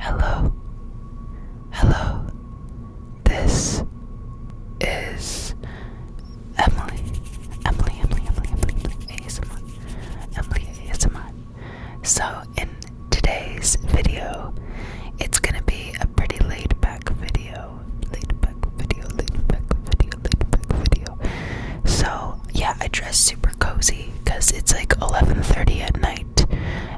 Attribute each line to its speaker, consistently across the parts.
Speaker 1: Hello, hello, this is Emily, Emily, Emily, Emily, Emily, Emily ASMR, Emily ASMR. So, in today's video, it's gonna be a pretty laid back video, laid back video, laid back video, laid back video. So, yeah, I dress super cozy because it's like 11:30 at night,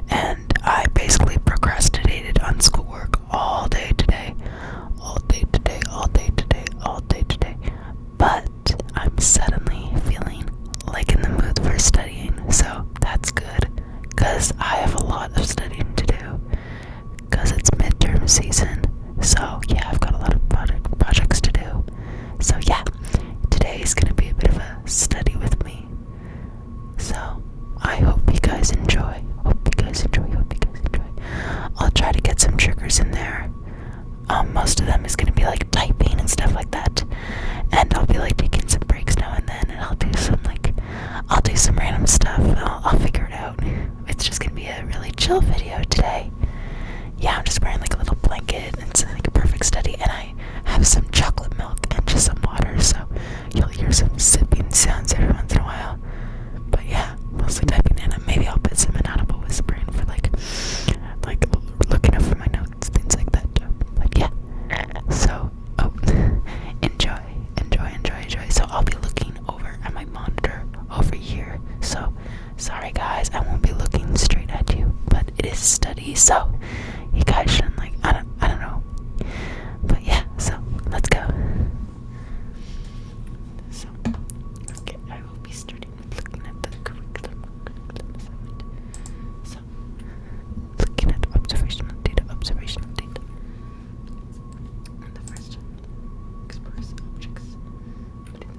Speaker 1: and I basically procrastinated on schoolwork all day today, all day today, all day today, all day today. But I'm suddenly feeling like in the mood for studying, so that's good because I have a lot of studying to do because it's midterm season. So yeah, I've got a lot of projects to do. So, yeah, today is going to be a bit of a study with me. So, I hope you guys enjoy. Hope you guys enjoy. Hope you guys enjoy. I'll try to get some triggers in there. Um, most of them is going to be like typing and stuff like that. And I'll be like taking some breaks now and then, and I'll do some like, I'll do some random stuff. I'll figure it out. It's just going to be a really chill video today yeah, I'm just wearing like a little blanket. And it's like a perfect study. And I have some chocolate milk and just some water, so you'll hear some sipping sounds every once in a while. But yeah, mostly typing in. And maybe I'll put some inaudible whispering for like, like looking for my notes, things like that. But yeah, so oh, enjoy, enjoy, enjoy, enjoy. So I'll be looking over at my monitor over here. So sorry. Alright, guys, I won't be looking straight at you, but it is study, so you guys shouldn't like I don't I don't know. But yeah, so let's go. So okay, I will be starting looking at the observational data, observational data. And the first one objects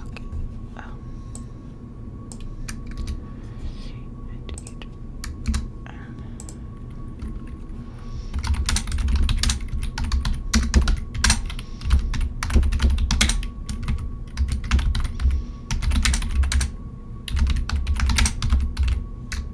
Speaker 1: Okay. Um. And it, um. Okay.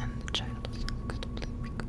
Speaker 1: And the child is incredibly big.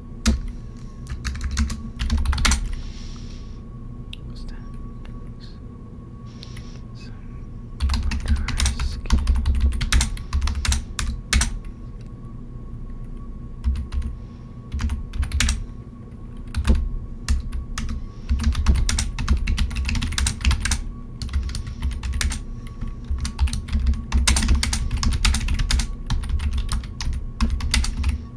Speaker 1: What's that? Some motor skin.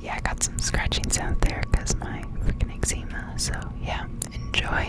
Speaker 1: Yeah, I got some scratching sound there because my freaking eczema, so yeah, enjoy.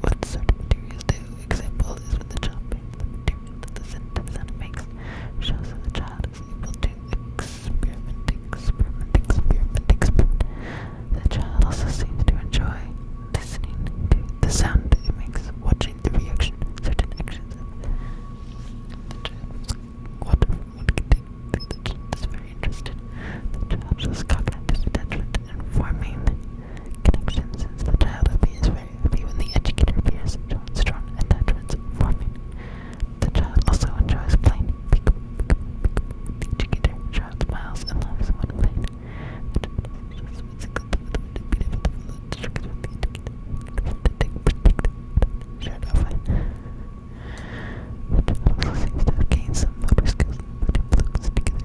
Speaker 1: What sort of materials do? Example is when the child makes. Shows that the child is able to experiment, experiment, experiment, experiment. The child also seems to enjoy listening to the sound it makes, watching the reaction, certain actions the child. What one can take the child is very interested. The child shows cognitive detachment and forming connection the child appears very happy when the educator appears, strong attachments forming. The child also enjoys playing. Peek, peek, The educator smiles, and laughs when playing. Shirt The child also seems to have some motor skills, which includes together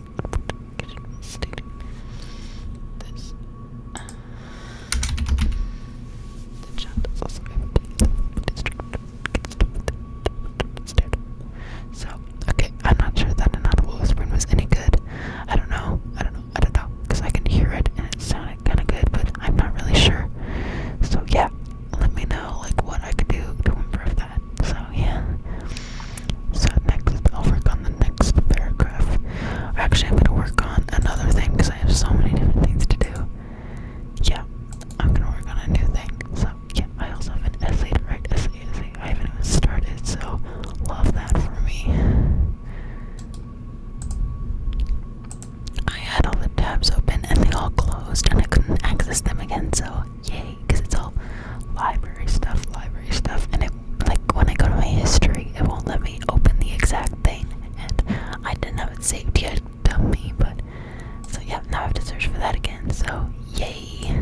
Speaker 1: So, okay, I'm not sure that an audible whispering was any good. I don't know. I don't know. I don't know. I can hear it and it sounded kind of good, but I'm not really sure. So, yeah, let me know like what I could do to improve that. So, yeah. So next, I'll work on the next paragraph. Actually, I'm gonna work on another thing because I have so many different things to do. Yeah, I'm gonna work on a new thing. So yeah, I also have an essay to write. Essay, essay. I haven't even started, so love that for me. I had all the tabs open and they all closed, and I couldn't access them again. So yay, because it's all library stuff, library stuff, and it like when I go to my history, it won't let me open the exact thing, and I didn't have it saved yet, dummy. But so yeah, now I have to search for that again. So yay.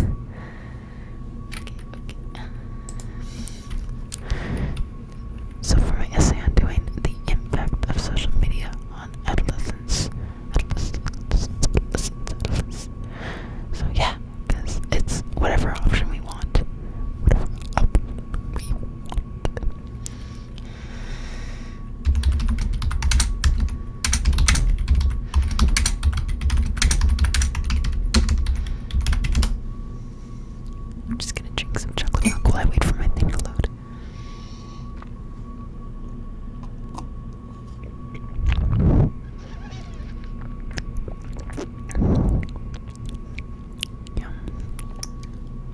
Speaker 1: So for my essay on doing the impact of social media on adolescents, so yeah, because it's whatever option we want. I'm just gonna drink some chocolate milk while I wait for my thing to load.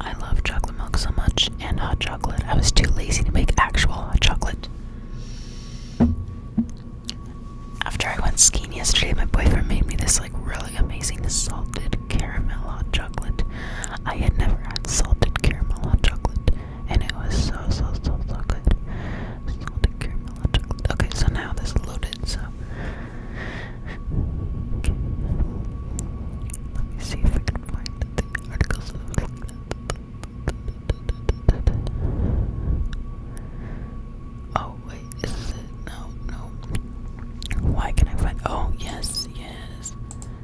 Speaker 1: I love chocolate milk so much and hot chocolate. I was too lazy to make actual chocolate. After I went skiing yesterday, my boyfriend made me this like really amazing salted caramel hot chocolate. I had never had salted caramel hot chocolate and it was so so so so good. Okay, so now this loaded. So let me see if I can find the articles Oh wait, is it? No, no. Why can I find? Oh yes, yes.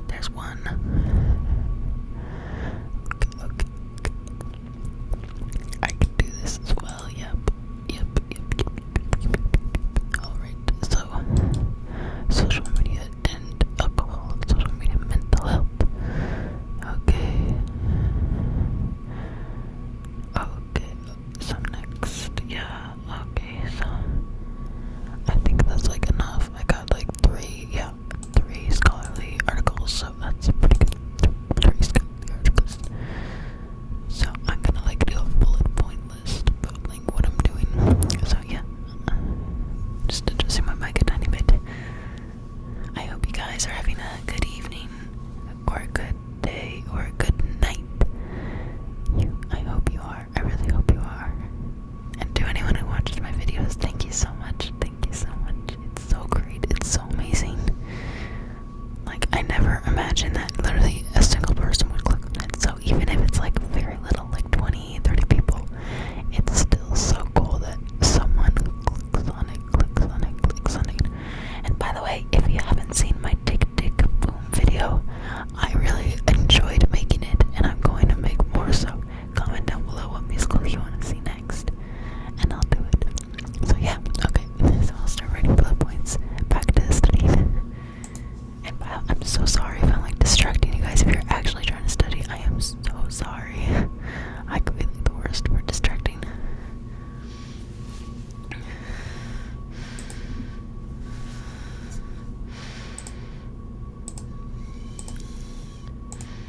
Speaker 1: There's one. I can do this as well. Yep. Yep. Yep. yep, yep, yep. Alright, so social media and alcohol, social media, mental health. Okay. Okay, so next, yeah, okay, so I think that's like enough. I got like three, yeah, three scholarly articles, so that's pretty good. Three scholarly articles. So I'm gonna like do a bullet point list, but like what I'm doing. So yeah, just adjusting my mic a tiny bit. I hope you guys are having a good evening, or a good day, or a good night. You, I hope you are. I really hope you are. And to anyone who watched my videos, thank you so much. Thank Thank you so much. It's so great. It's so amazing. Like, I never imagined that literally a single person would click on it. So, even if it's like very little, like 20, 30 people, it's still so cool that someone clicks on it, clicks on it, clicks on it. And by the way, if you haven't seen my Tick Tick Boom video, I really enjoyed making it and I'm going to make more so. Comment down below what musical you want to see next, and I'll do it. So yeah, okay. So I'll start writing bullet points practice, study. And wow, I'm so sorry if I'm like distracting you guys. If you're actually trying to study, I am so sorry. I could be like the worst for distracting.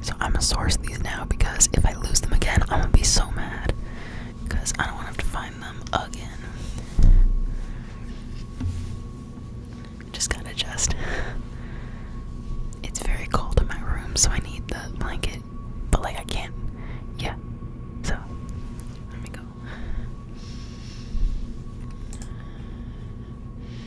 Speaker 1: So I'm gonna source these now because if I lose them again, I'm gonna be so mad because I don't want to have to find them again. Just gotta adjust. It's very cold in my room, so I need the blanket, but like I can't. Yeah. So let me go.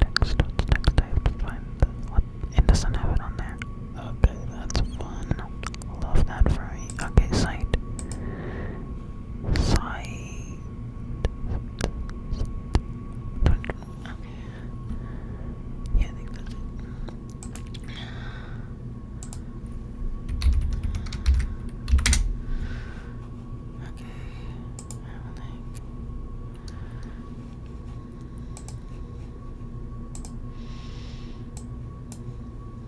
Speaker 1: Next, what's next? I have to it doesn't have it on there. Okay, that's fun. Love that for Okay, sight side. Yeah, I think that's it. Okay.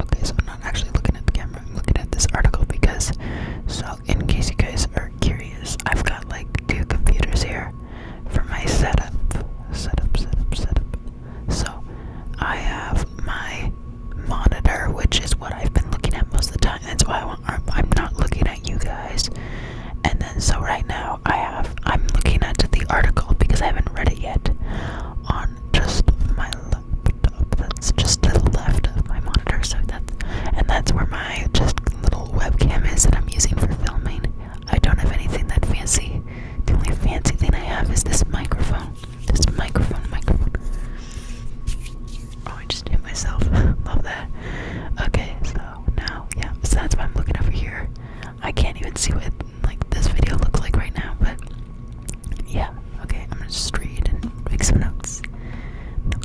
Speaker 1: Okay, so I'm not actually looking at the camera, I'm looking at this article because, so in case you guys are curious, I've got like two computers here for my setup. Setup, setup, setup. So I have my monitor, which is what I've been looking at most of the time. That's why I'm not looking at you guys. And then so right now I have I'm looking at the article because I haven't read it yet on just my laptop that's just to the left of my monitor, so that's and that's where my just little webcam is that I'm using for filming. I don't have anything that fancy. The only fancy thing I have is this microphone. This microphone, microphone. Oh, I just hit myself. Love that. Okay, so now, yeah, so that's why I'm looking over here. I can't even see what like this video looks like right now, but yeah. Okay, I'm gonna just read and make some notes.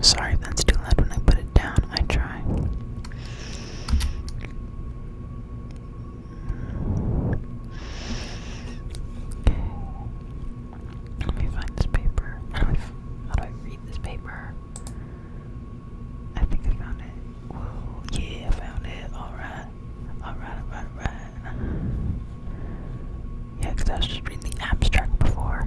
Speaker 1: Sorry if that's too loud when I put it down. I try. Let me find this paper. How do I, how do I read this paper? I think I found it. yeah, I found it. Alright. Alright, alright, alright. Yeah, because I was just reading the abstract before.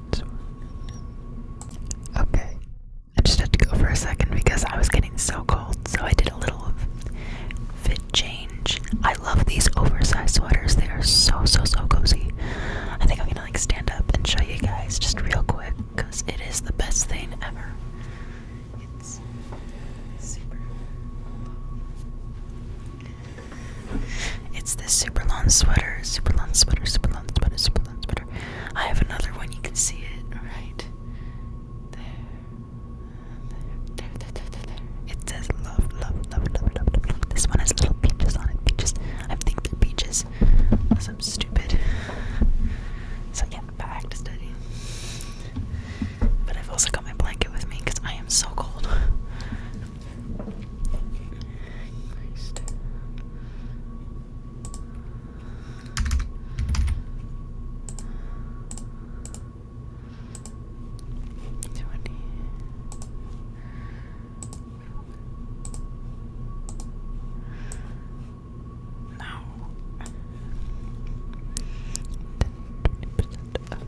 Speaker 1: Okay. I just had to go for a second because I was getting so cold, so I did a little fit change. I love these oversized sweaters. They are so, so, so cozy. I think I'm gonna like stand up and show you guys just real quick because it is the best thing ever. It's super. It's this super long sweater, super long sweater, super long sweater, super long sweater. I have another one, you can see it, right? There. There, there, there, there, It says love, love, love, love, love, This one has little peaches on it. Peaches. I think they're peaches. Because I'm stupid. So yeah, back to study. But I've also got my blanket with me because I am so cold. Christ. Twenty. No. Twenty percent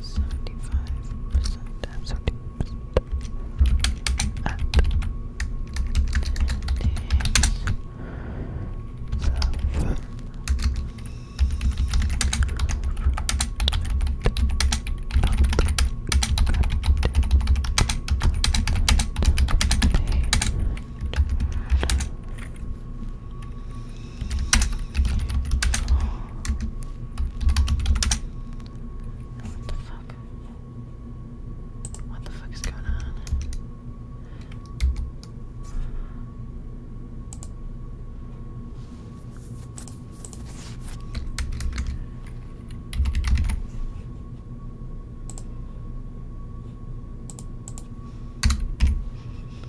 Speaker 1: Seventy-five percent times seventy percent up. What the fuck? What the fuck is going on?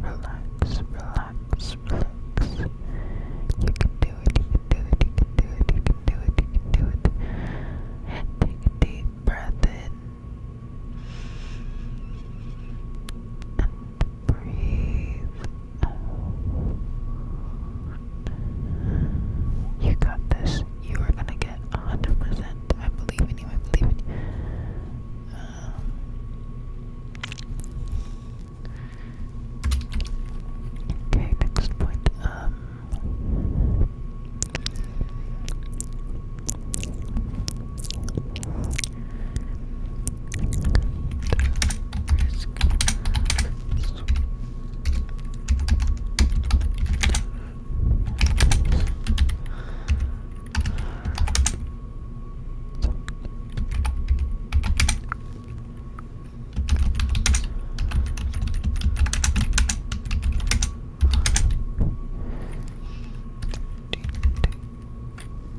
Speaker 1: relax, relax, relax. You can do it, you can do it, you can do it, you can do it, you can do it. Take a deep breath in breathe You got this. You are gonna get 100%. I believe in you, I believe in you. Um, Okay, next point. Um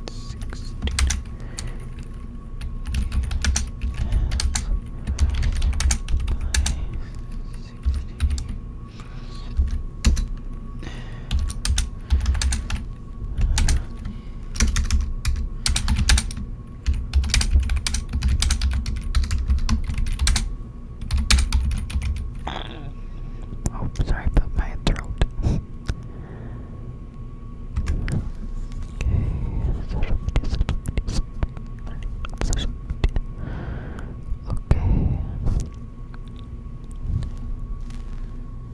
Speaker 1: Sixty. Oh, sorry about my throat. Okay.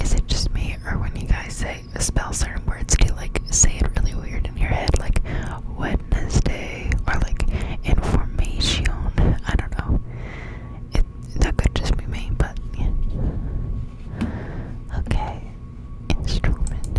Speaker 1: Is it just me, or when you guys say spell certain words, you like say it really weird in your head, like Wednesday or like information? I don't know. that could just be me, but Okay, instrument.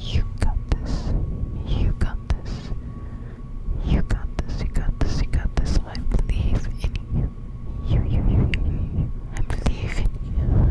Speaker 1: You got this. You got this. You got this. You got this. You got this. I believe in you. You, you, you, you, you. I believe in you.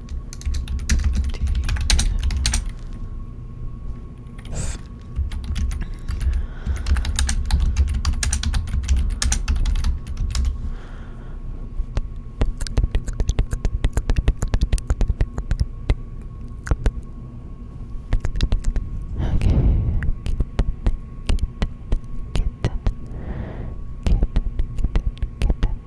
Speaker 1: Get, get, get, get,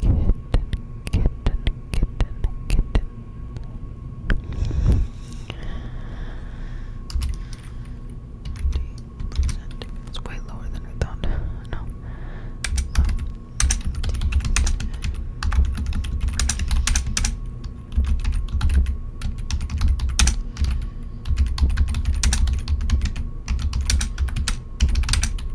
Speaker 1: Kitten, kitten, It's way lower than I thought. No. Um,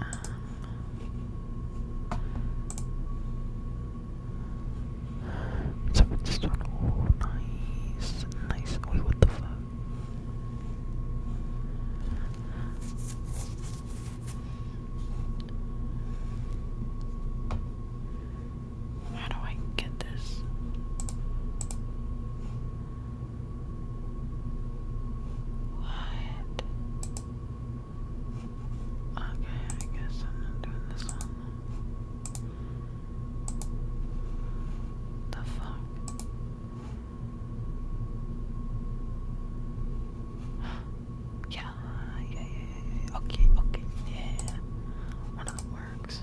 Speaker 1: Um, just this one, oh nice, nice. Wait, oh, what the fuck? How do I get this? What? Okay, I guess I'm not doing this one. The fuck? yeah, yeah, yeah, okay, okay, yeah. One of them works.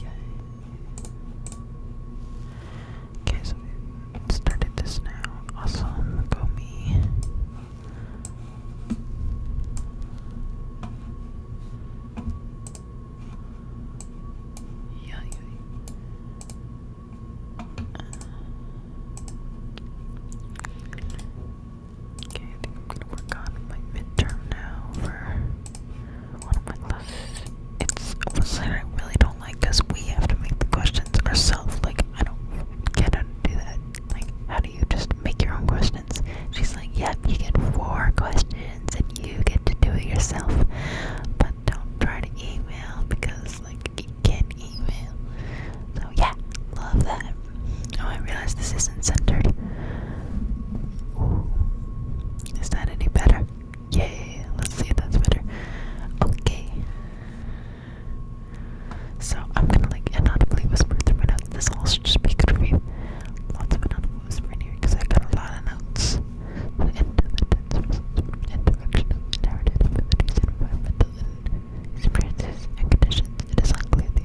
Speaker 1: Yay. Okay, so we started this now. Awesome, go me. Yeah, Okay, I'm gonna work on my midterm now for one of my classes. It's something I really don't like because we have to make the questions ourselves. Like, I don't get how to do that. Like, how do you just make your own questions? She's like, yep, you get four questions and you get to do it yourself. But don't try to email because, like, you can't email. So, yeah, love that. Oh, I realize this isn't centered. Is that any better? Yay, let's see if that's better. Okay. So I'm gonna like inaudibly whisper through my notes. This all should just be good for me. Lots of inaudible whispering here because I got a lot of notes. Into the tense interaction narrative abilities, environmental experiences and conditions. It is unclear the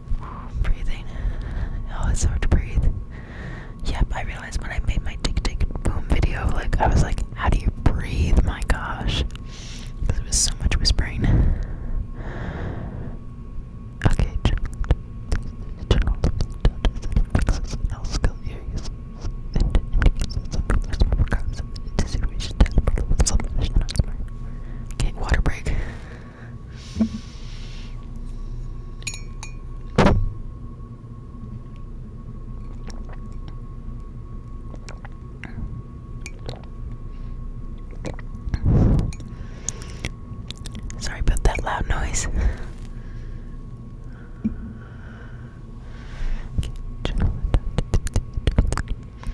Speaker 1: breathing. Oh, it's hard to breathe. Yep, I realized when I made my tick tick boom video, like I was like, how do you breathe? My gosh, because it was so much whispering. Okay, water break. Sorry about that loud noise.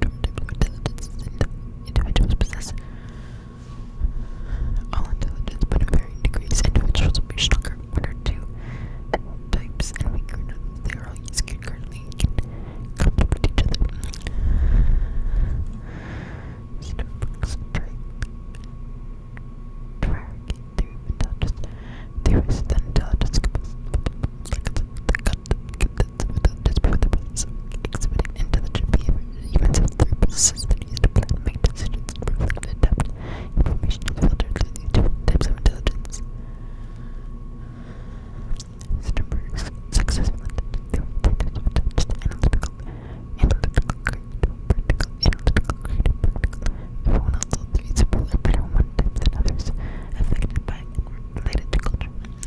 Speaker 1: normative intelligence is in individuals possess all intelligence, but in varying degrees. Individuals will be stronger in two types and weaker in They are all used concurrently and can complement each other. Starbucks tribe of intelligence. Theorists and intelligence exhibiting intelligent behavior, even so through processes that use to plan, make decisions, reflect, adapt, information different types of intelligence. Sternberg's successful intelligence analytical, analytical, critical, practical, analytical, creative, practical. Everyone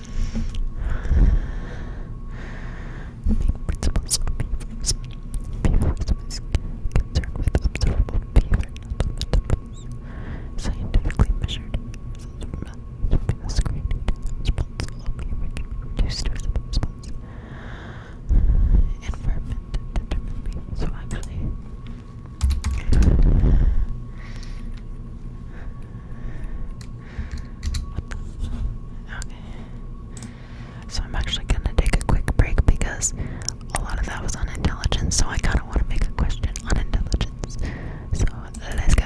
Speaker 1: main principles concerned with observable behavior, not fundamentals. Scientifically measured results from a surveillance screening response allow behavior to be reduced to a response. Environment determined So actually, Okay. So I'm actually gonna take a quick break because a lot of that was on so I kinda wanna make a question on intelligence. So let's go.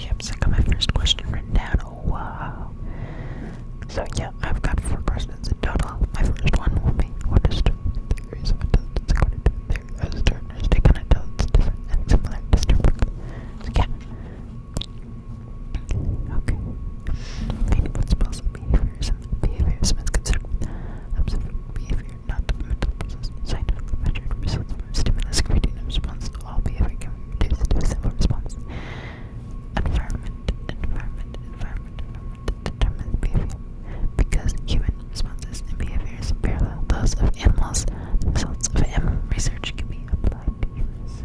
Speaker 1: Yep, so I got my first question written down. Oh wow. So yeah, I've got four questions in total. My first one will be what is the theories of intelligence according to the theory of Stirner's take on intelligence different and similar to Sternberg? So yeah. Okay. Meaning principles behaviorism. Behaviorism is considered observant behavior, not the mental process. Scientifically measured results from stimulus creating a All behavior can be reduced to a simple response. Environment, environment, environment, environment determines behavior. Because human responses and behaviors parallel those of animals, the results of animal research can be applied to humans.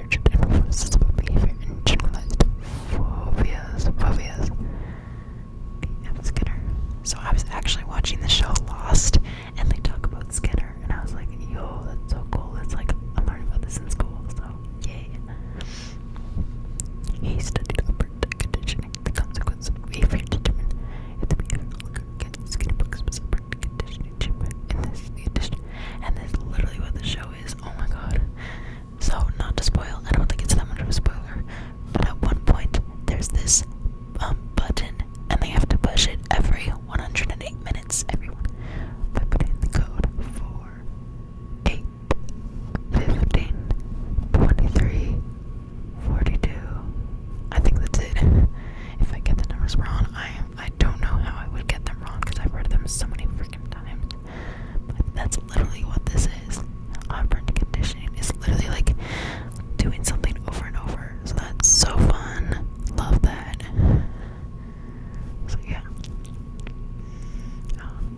Speaker 1: research phobias. Phobias. Yeah, Skinner. So I was actually watching the show Lost, and they talk about Skinner, and I was like, "Yo, that's so cool! It's like I'm learning about this in school." So yay. He studied upper conditioning, the consequence of behavior determined if the behavior against Skinner was upper conditioning treatment. And this, the and this is literally what the show Oh my god. So, not to spoil, I don't think it's that much of a spoiler, but at one point there's this um, button and they have to push it every 108 minutes, everyone. By code for 8, I think that's it. If I get the numbers wrong, I am I don't know how I would get them wrong because I've read them so many freaking times. But that's literally what this is. Operant conditioning is literally like doing something over and over. So that's so fun. Love that. So yeah. Um,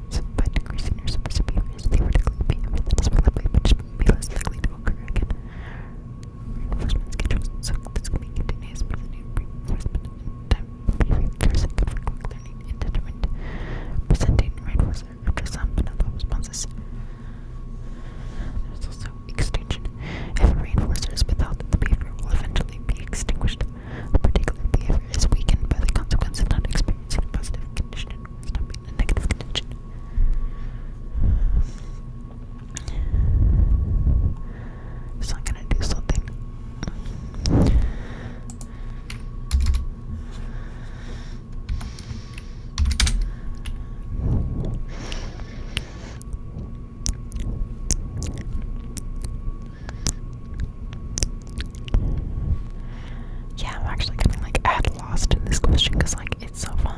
Speaker 1: So, but increasing your superspeed is theoretically behavior that is reliably be less likely to occur again. Reinforcement schedules. So, this can be continuous, but the new and time for quick learning and determined presenting reinforcement after some but not responses. There's also extinction. If a reinforcer is without, the behavior will eventually be extinguished. A particular behavior is weakened by the consequence of not experiencing a positive condition. Stop be in It's not gonna do something. Yeah, I'm actually gonna like add lost in this question because like it's so fun.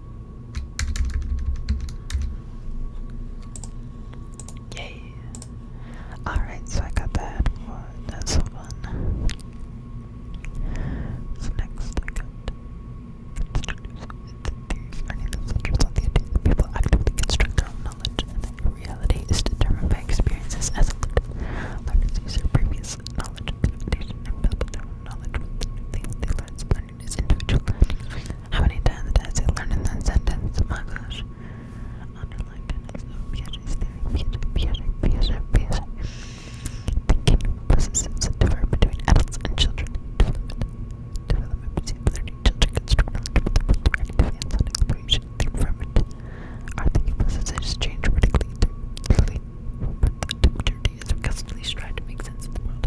Speaker 1: Yay! Alright, so I got that for one. So next I got people actively construct their own knowledge and that reality is determined by experiences as a learners use their previous knowledge expectation and build their own knowledge with the new things they learn learning is How many times did I say in that sentence? Oh my gosh. Underline tennis. Oh, Piaget's theory. Piaget, Piaget, Piaget, Piaget. between adults and children. Development. Development between children construct with activity and sound exploration. The environment. Our thinking processes change radically through constantly strive to make sense of the world.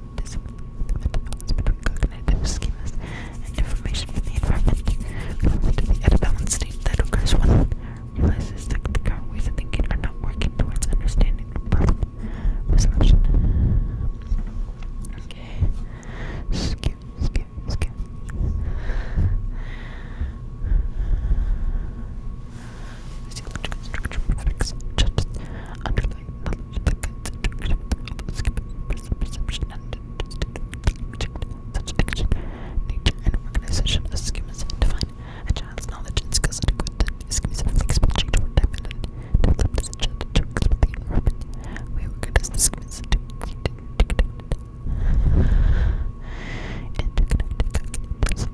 Speaker 1: this balance between cognitive schemas and information from the environment. Relevant the out state that occurs when realizes that the current ways of thinking are not working towards understanding the problem resolution. Okay. Skew, skew, skew. Physiological structure products just under perception, and such addiction, a child's knowledge and skills adequate that schemas are flexible, change over time, to expect the We organize the schemas to Interconnected is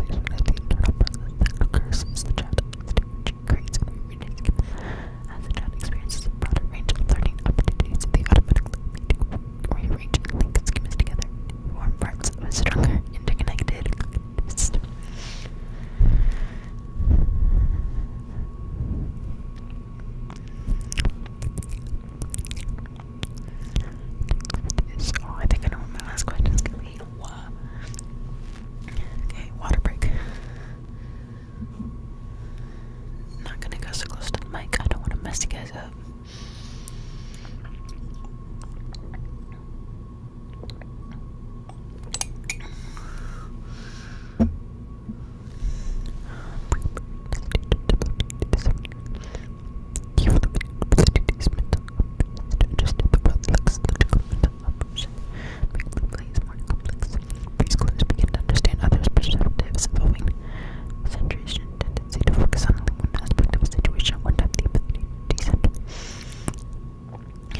Speaker 1: the internal that occurs since the child is teaching creates experiences a broader range of learning opportunities, they automatically rearrange link its schemas together to parts of a stronger, interconnected system. Oh, I think my last question is gonna be. Okay, water break i not gonna go so close to the mic. I don't want to mess you guys up emotion, making plays more complex. Preschoolers begin to understand others' perspectives, evolving concentration tendency to on one aspect of a situation, one time the ability to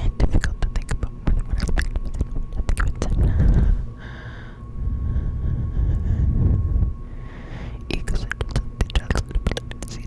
Speaker 1: And difficult to think about more than one aspect of the Ecosystem of the child's ability to see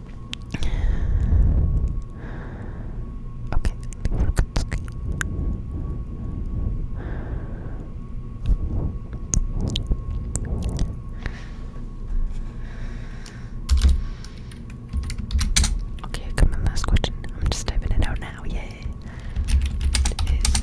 Speaker 1: Okay, that's okay. Okay, come on, last question. I'm just typing it out now. Yay! It is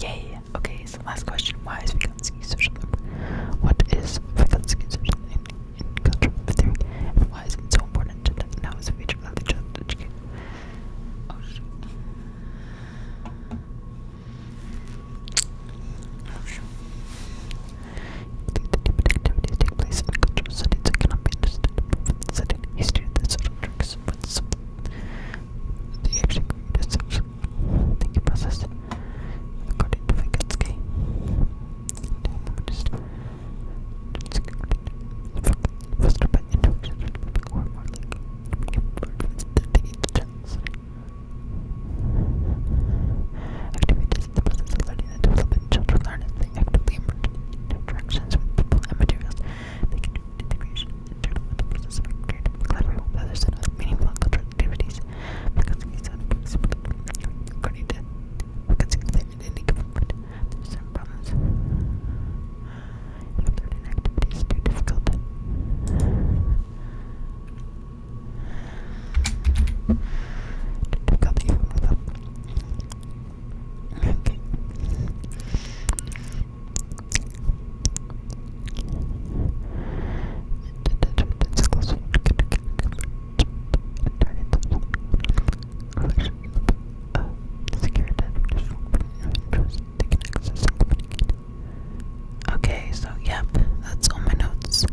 Speaker 1: Yay! Okay, so last question. Why is Vygotsky socialism? What is Vygotsky socialism in, in theory? why is it so important now is a feature of the child education? Oh shoot. Oh shoot. The activities take place in cultural settings cannot be understood from setting. He stated that social tricks the actual distance. Thank you, process. According to Vygotsky. Fostered by intuition or more like Activities in the process of learning and development. Children learn they actively emerge in interactions with people and materials integration, internal and the process of creative and meaningful cultural activities. Because these are according to because they're in any government, there's certain problems. if certain activities too difficult. Difficult even without Okay, so yep, that's all my notes,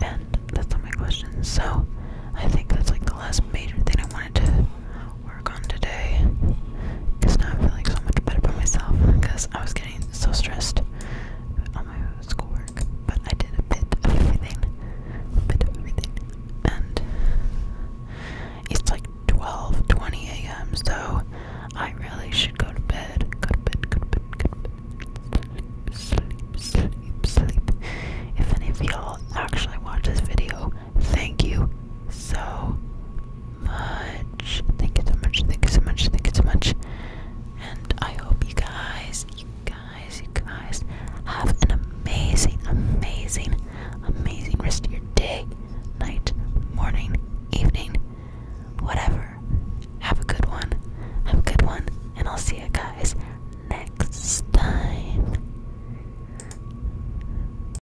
Speaker 1: and that's all my questions. So I think that's like the last major thing I wanted to work on today now I'm feeling so much better by myself because I was getting so stressed on my schoolwork. But I did a bit of everything, a bit of everything, and it's like 12:20 a.m. So I really should go to bed. Go to bed, go to bed, go to bed. Sleep, sleep, sleep, sleep. If any of y'all actually watch this video, Thank you so much. Thank you so much. Thank you so much. Thank you so much. And I hope you guys, you guys, you guys have an amazing, amazing, amazing rest of your day, night, morning, evening, whatever. Have a good one. Have a good one. And I'll see you guys next time.